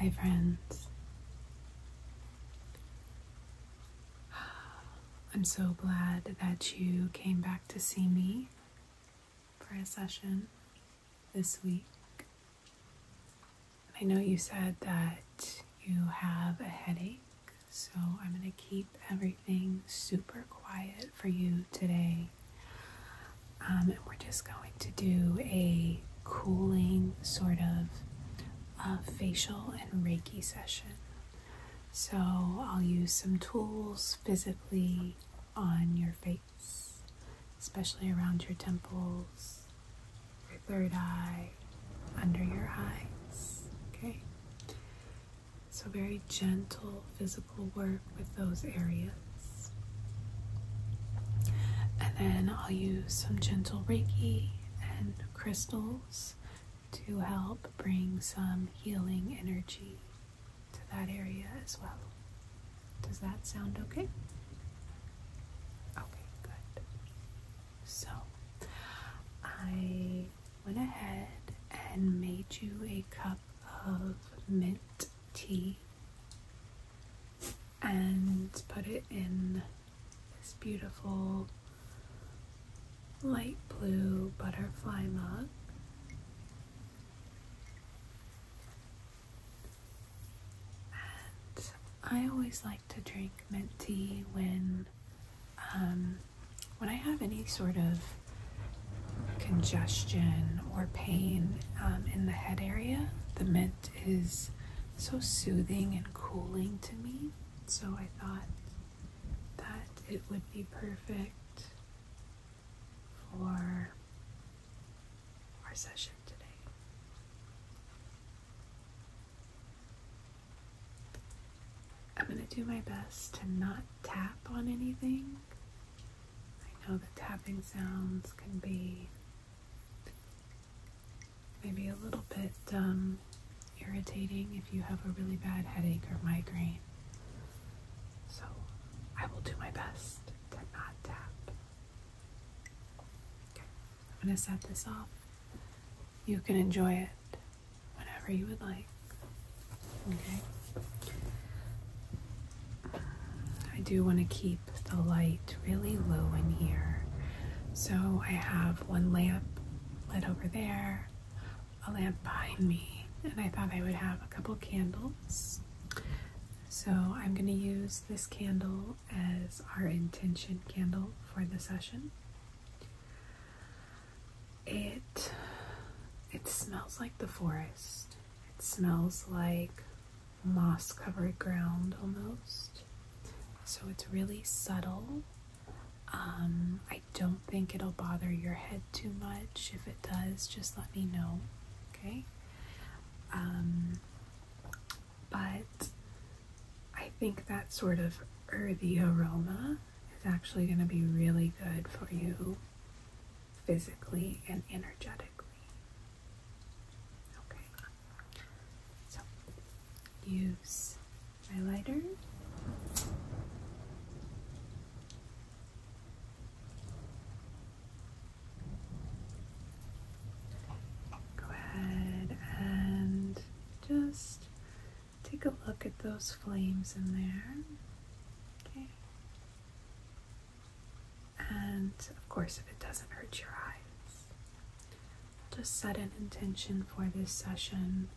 Hi, friends. I'm so glad that you came back to see me for a session this week. I know you said that you have a headache, so I'm going to keep everything super quiet for you today. Um, and we're just going to do a cooling sort of facial and Reiki session. So I'll use some tools physically on your face, especially around your temples, your third eye, under your eyes. Okay? So, very gentle physical work with those areas. And then I'll use some gentle Reiki and crystals to help bring some healing energy to that area as well. Does that sound okay? Okay, good. So, I went ahead and made you a cup of mint tea and put it in this beautiful light blue butterfly mug. I always like to drink mint tea when um, when I have any sort of congestion or pain um, in the head area. The mint is so soothing and cooling to me, so I thought that it would be perfect for our session today. I'm going to do my best to not tap on anything. I know that tapping sounds can be maybe a little bit um, irritating if you have a really bad headache or migraine. So I will do my best to not tap. Okay, I'm going to set this off. You can enjoy it whenever you would like. Okay. I do want to keep the light really low in here. So I have one lamp lit over there, a lamp behind me and I thought I would have a couple candles. So I'm going to use this candle as our intention candle for the session. It it smells like the forest. It smells like moss covered ground almost. So it's really subtle. Um, I don't think it'll bother your head too much. If it does, just let me know, okay? Um, but I think that sort of earthy aroma is actually going to be really good for you physically and energetically. Okay, so use highlighter. Go ahead and just take a look at those flames in there. Okay. And of course, if it doesn't hurt your eyes, just set an intention for this session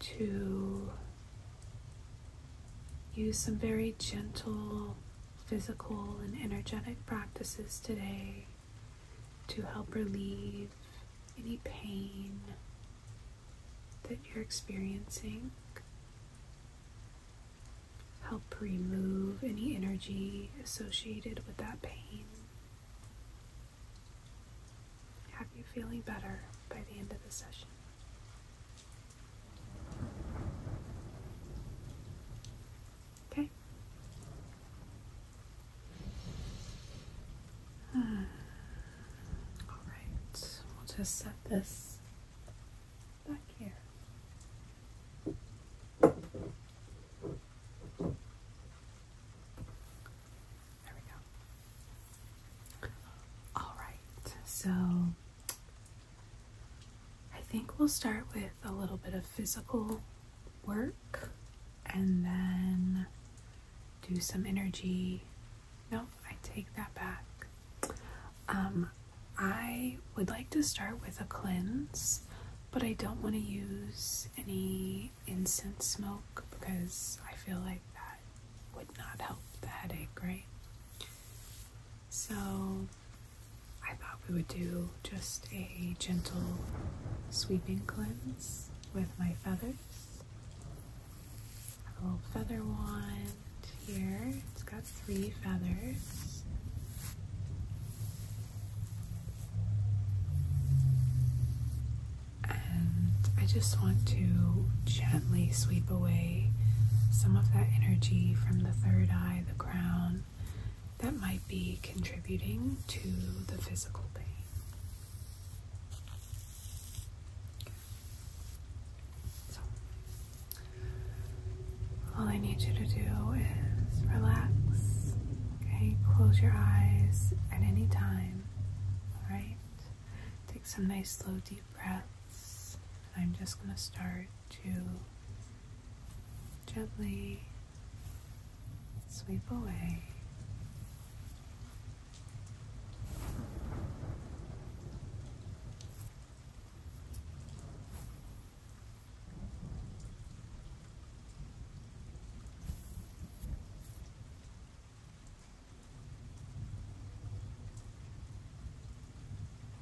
to Use some very gentle physical and energetic practices today to help relieve any pain that you're experiencing. Help remove any energy associated with that pain. Have you feeling better by the end of the session? Okay. All right, we'll just set this back here. There we go. All right, so I think we'll start with a little bit of physical work and then do some energy. No, I take that back. Um, I would like to start with a cleanse, but I don't want to use any incense smoke because I feel like that would not help the headache, right? So I thought we would do just a gentle sweeping cleanse with my feathers. a little feather wand here. It's got three feathers. And I just want to gently sweep away some of that energy from the third eye, the crown, that might be contributing to the physical pain. all I need you to do is relax, okay? Close your eyes at any time, Right, Take some nice, slow, deep breaths. I'm just going to start to gently sweep away.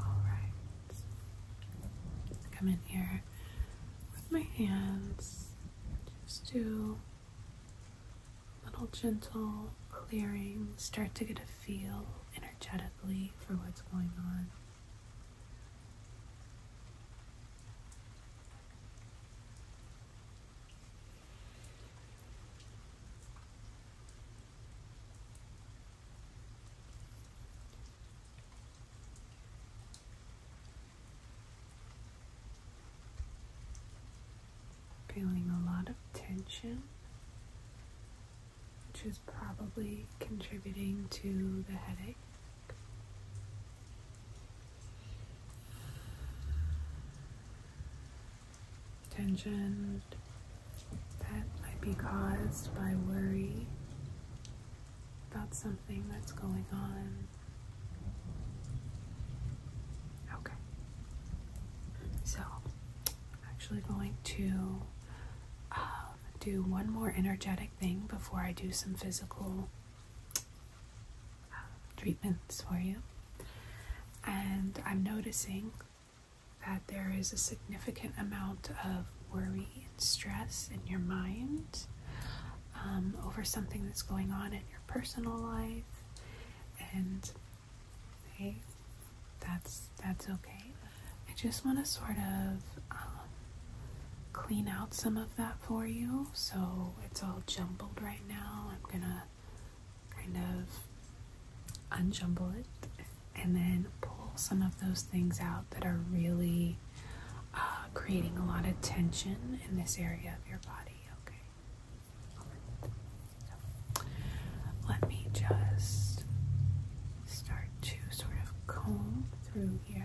All right. Come in here with my hands just to little gentle clearing. Start to get a feel energetically for what's going on. Feeling a lot of tension, which is probably contributing to the headache. Tension that might be caused by worry about something that's going on Okay. So, I'm actually going to um, do one more energetic thing before I do some physical uh, treatments for you. And I'm noticing that there is a significant amount of worry and stress in your mind. Um, over something that's going on in your personal life, and hey, that's that's okay. I just want to sort of um, clean out some of that for you, so it's all jumbled right now. I'm gonna kind of unjumble it and then pull some of those things out that are really uh, creating a lot of tension in this area of your body, okay? let me just start to sort of comb through here.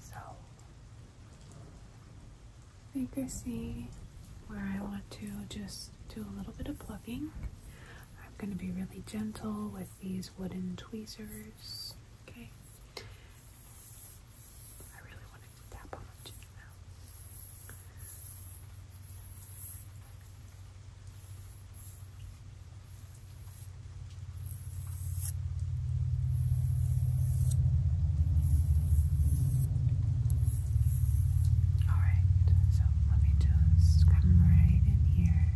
So I think see where I want to just do a little bit of plucking. I'm going to be really gentle with these wooden tweezers. Okay. All right, so let me just come right in here.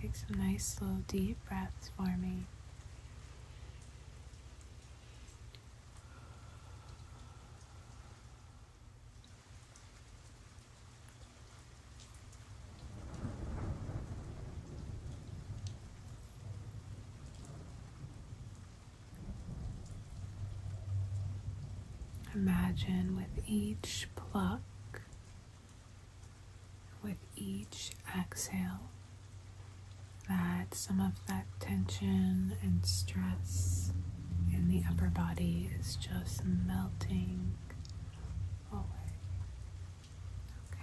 Take some nice, slow, deep breaths for me. Imagine with each pluck, with each exhale, that some of that tension and stress in the upper body is just melting away. Okay.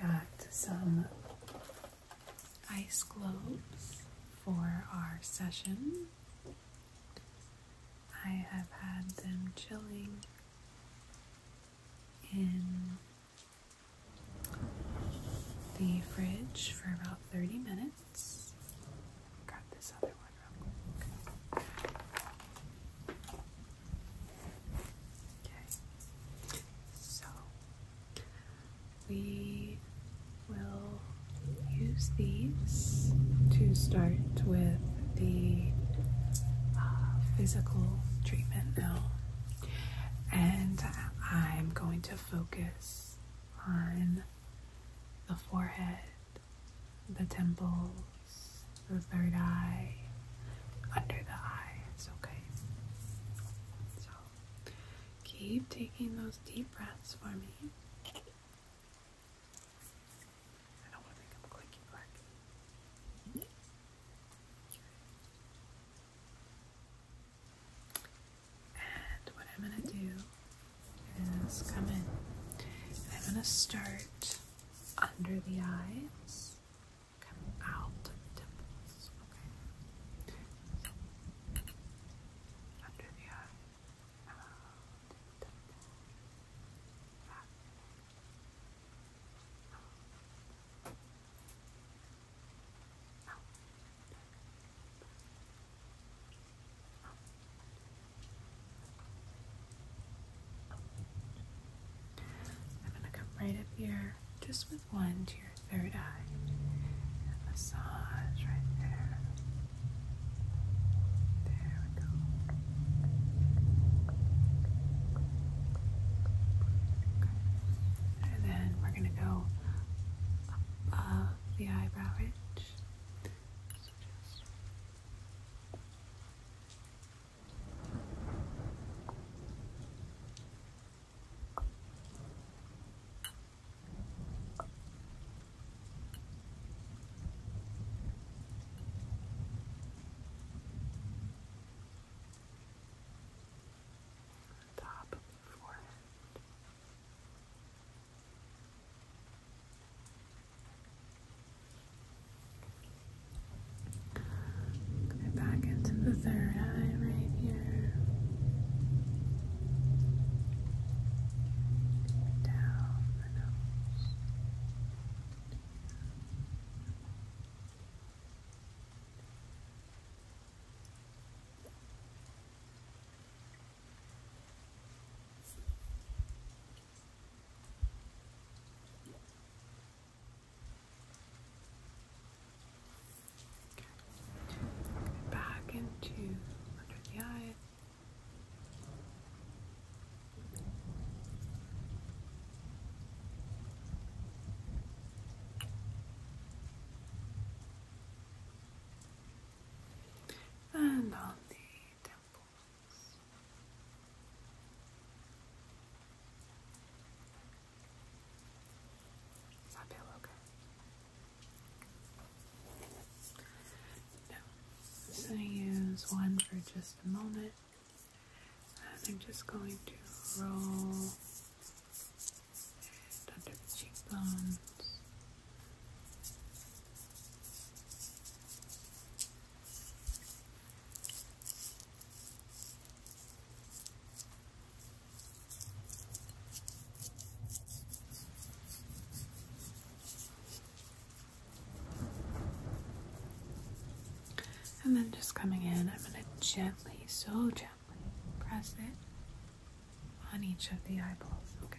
Got some ice globes for our session. I have had them chilling in the fridge for about 30 minutes. Grab this other one real Okay, so we will use these to start with the uh, physical treatment now, and I'm going to focus on the forehead, the temple the third eye, under the eye. It's okay. So keep taking those deep breaths for me. I don't want to make them clicky clack. And what I'm going to do is come in. I'm going to start under the eyes come out of the temples, okay? So, under the eye, out of the temple, back, out, out, out. I'm going to come right up here just with one to your third eye massage right there. There we go. And then we're going to go above the eyebrow ridge the top of the forehead. Down back into the third eye right here. Down the nose. Okay. Back into under the eye. And on the temples. Is that okay? No. I'm just going to use one for just a moment. I'm just going to roll it under the cheekbones. And then just coming in, I'm going to gently, so gently press it on each of the eyeballs. Okay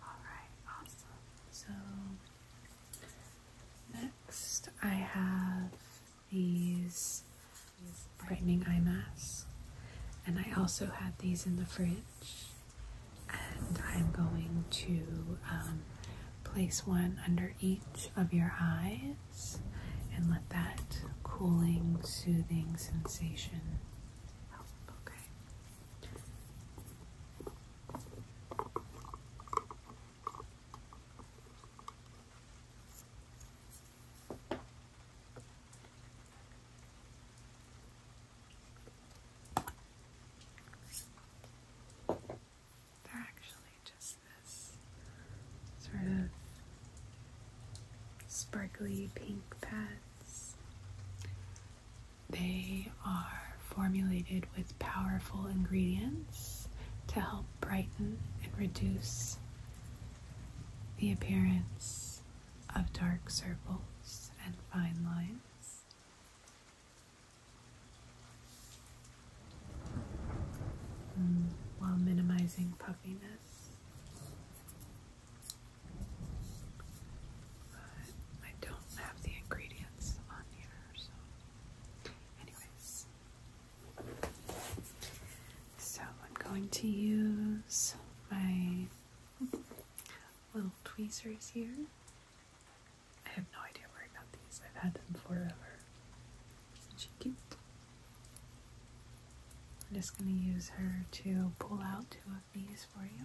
Alright, awesome. So next I have these brightening eye masks. And I also have these in the fridge. And I'm going to um, place one under each of your eyes and let that cooling, soothing sensation help. Okay. They're actually just this sort of sparkly pink pads they are formulated with powerful ingredients to help brighten and reduce the appearance of dark circles and fine lines. Mm, while minimizing puffiness. But I don't have the ingredients on here, so anyways. So I'm going to use my little tweezers here. I have no idea where I got these. I've had them forever. Isn't she cute? I'm just going to use her to pull out to these for you.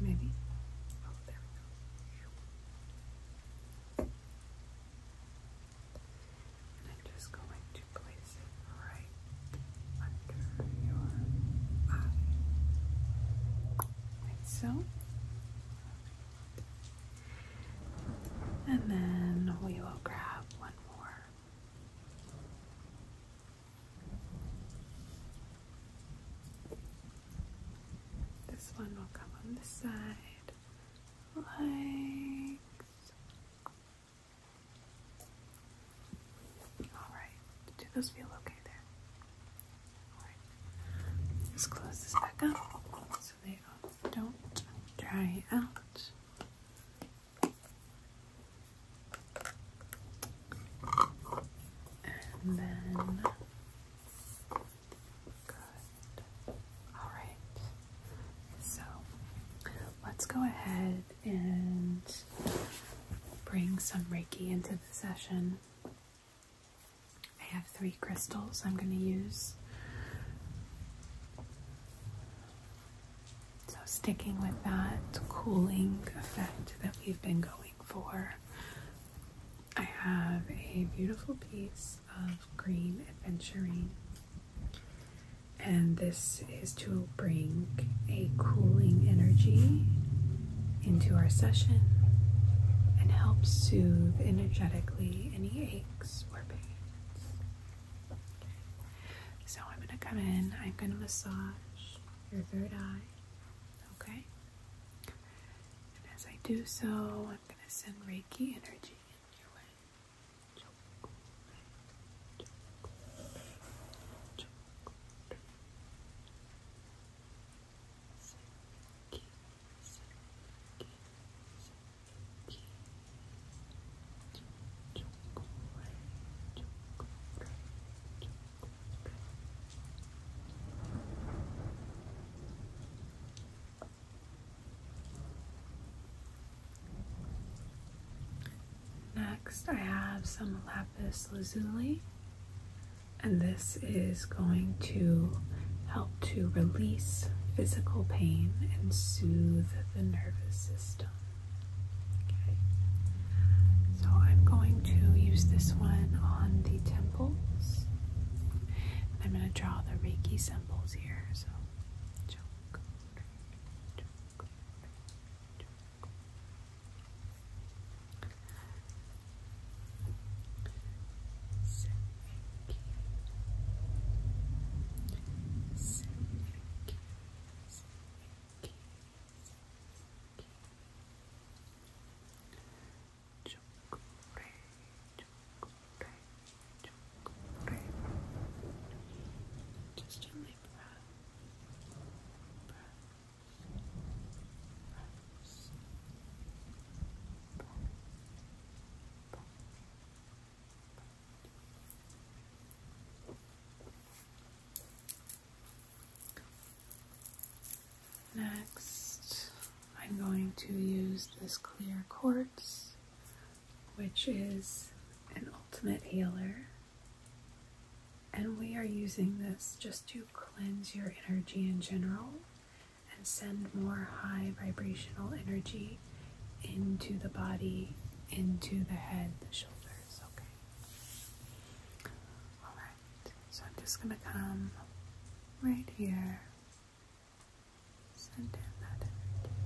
Maybe. Oh, there we go. I'm just going to place it right under your eye. so. And then we will grab one more this one will come on this side, like Alright, do those feel okay there? let's close this back up so they don't dry out. And then good. All right. So let's go ahead and bring some Reiki into the session. I have three crystals I'm going to use. So, sticking with that cooling effect that we've been going for, I have a beautiful piece of green adventuring, and this is to bring a cooling energy into our session and help soothe energetically any aches or pains. So I'm going to come in, I'm going to massage your third eye, okay? And as I do so, I'm going to send Reiki energy in your way. Next, I have some lapis lazuli, and this is going to help to release physical pain and soothe the nervous system. Okay. So I'm going to use this one on the temples. I'm going to draw the Reiki symbols here. So choke, choke, just gently press, press, press, press, press, Next, I'm going to use this clear quartz, which is an ultimate healer. And we are using this just to cleanse your energy in general and send more high vibrational energy into the body, into the head, the shoulders. Okay. All right. So I'm just going to come right here. Send in that energy.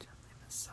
Gently massage.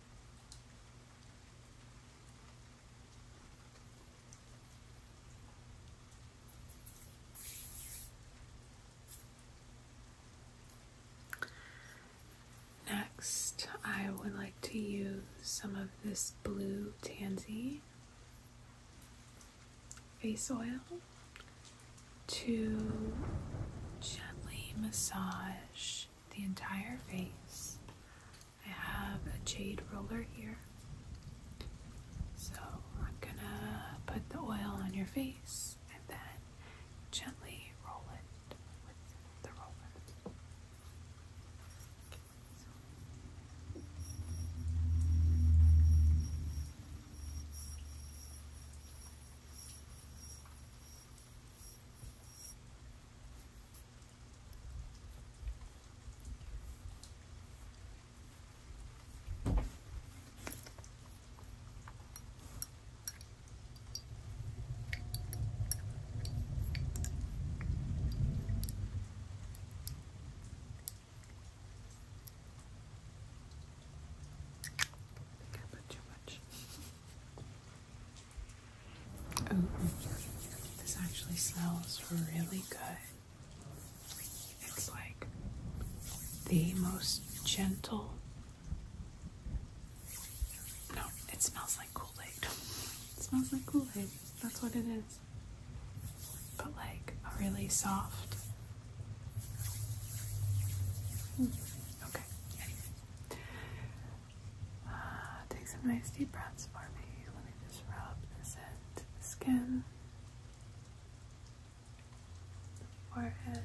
Next, I would like to use some of this blue tansy face oil to gently massage the entire face I have a jade roller here. So I'm gonna put the oil on your face and then gently roll it with the roller. I think I put too much. this actually smells really good. It's like the most gentle. No, it smells like Kool-Aid. It smells like Kool-Aid. That's what it is. But like a really soft. Hmm. Okay. Uh, take some nice deep breaths for me. Let me just rub the this into the skin, forehead.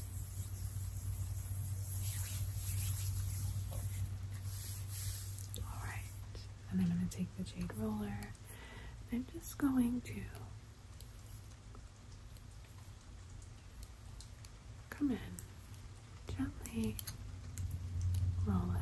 Alright, and then I'm going to take the jade roller I'm just going to come in, gently roll it.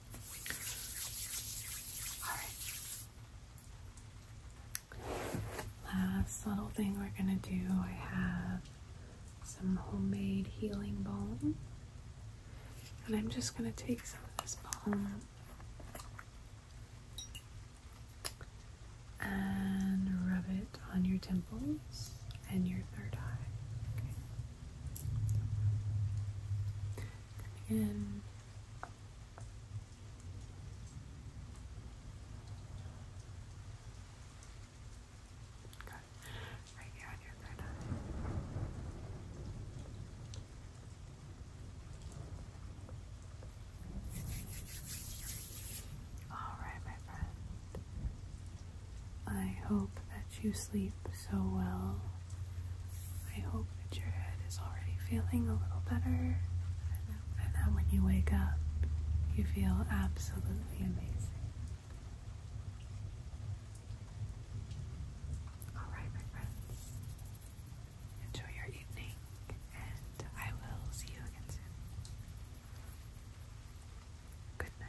Last little thing we're going to do, I have some homemade healing balm. And I'm just going to take some of this balm and rub it on your temples and your third eye. And again. Right here on your third eye. All right, my friend. I hope that you sleep so well. I hope that your head is already feeling a little better and that when you wake up, you feel absolutely amazing. Alright, my friends, enjoy your evening, and I will see you again soon. Good night.